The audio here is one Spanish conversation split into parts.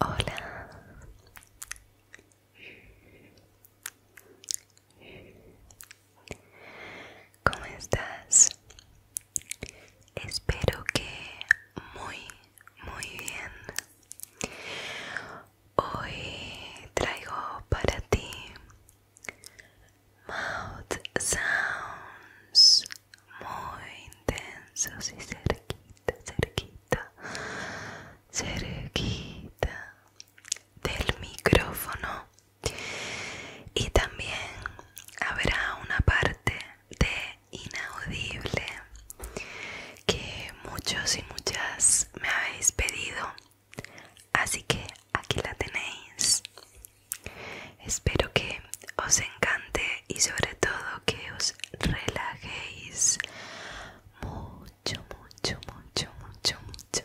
Hola. ¿Cómo estás? Espero que muy, muy bien. Hoy traigo para ti mouth sounds muy intensos y cerquita, cerquita, cerquita del micrófono y también habrá una parte de inaudible que muchos y muchas me habéis pedido así que aquí la tenéis espero que os encante y sobre todo que os relajéis mucho mucho mucho mucho mucho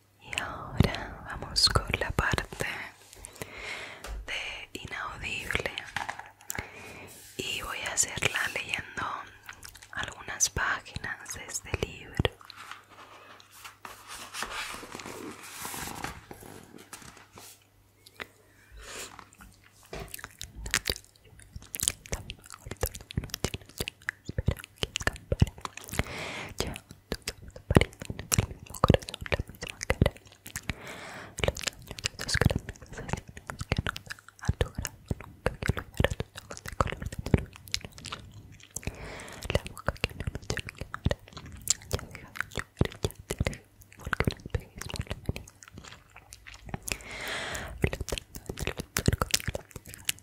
Y ahora vamos con la parte de inaudible y voy a hacerla leyendo algunas páginas de este libro parecen el mismo corazón, la misma cara. Los daños de tus grandes asesinos que nos han logrado nunca que ojos de color de La boca que no nos debe ya deja de ya te deja, porque un espejismo le venía. Flotando entre los arcos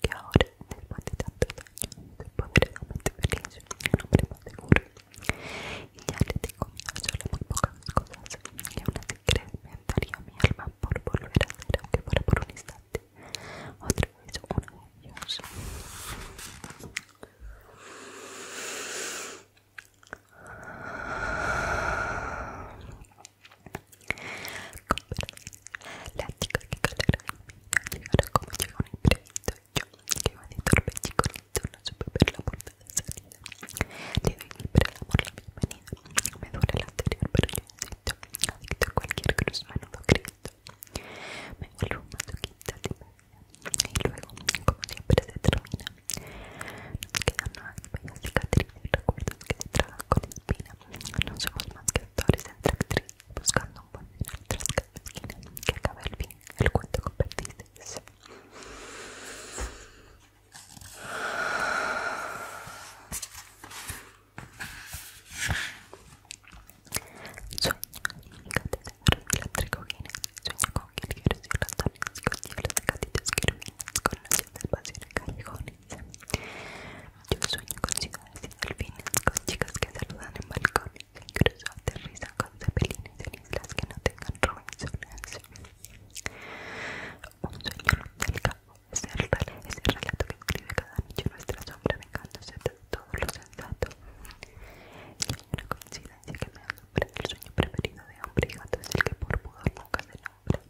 que ahora, después de tantos años, soy realmente feliz y un hombre más seguro. Y ya le digo, miedo solo muy pocas cosas, y una aún así me daría mi alma por volver a ser, aunque fuera por un instante. Otra vez uno de ellos como la chica que calera llegará como llega un imprevisto yo, que iba de editarme no supe ver la puerta de salida. Le doy libre amor la bienvenida, me duele la anterior, pero yo insisto, adicto a cualquier cruz, menudo Cristo. Me vuelvo un masoquista de y luego, como siempre se termina, nos quedan unas bellas cicatrices y recuerdos que se tragan con espina. No somos más que actores entre actrices buscando un buen final tras cada esquina que acabe el el cuento con perdices. Sueña, catedral eléctrico Guinness, sueña con jilgueros y el ratones, con hielos de gatitos querubines, con la noches de pasión en callejones. Yo sueño con ciudades y delfines, con chicas que saludan en balcones, incluso aterrizan con cepelines en islas que no tengan Robinson Un sueño del campo es el, relato, relato que escribe cada noche nuestra sombra vengándose de todos lo sensato. Y hay una coincidencia que me asombra, el sueño preferido de hombre y gato es el que por pudor nunca se nombra.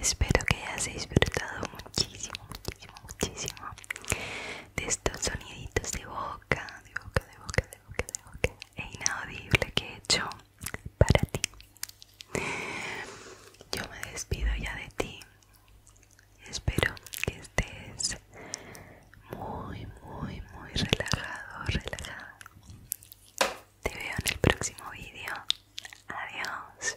Espero que hayas disfrutado muchísimo, muchísimo, muchísimo de estos soniditos de boca, de boca, de boca, e inaudible que he hecho para ti. Yo me despido ya de ti. Espero que estés muy, muy, muy relajado, relajada. Te veo en el próximo vídeo. Adiós.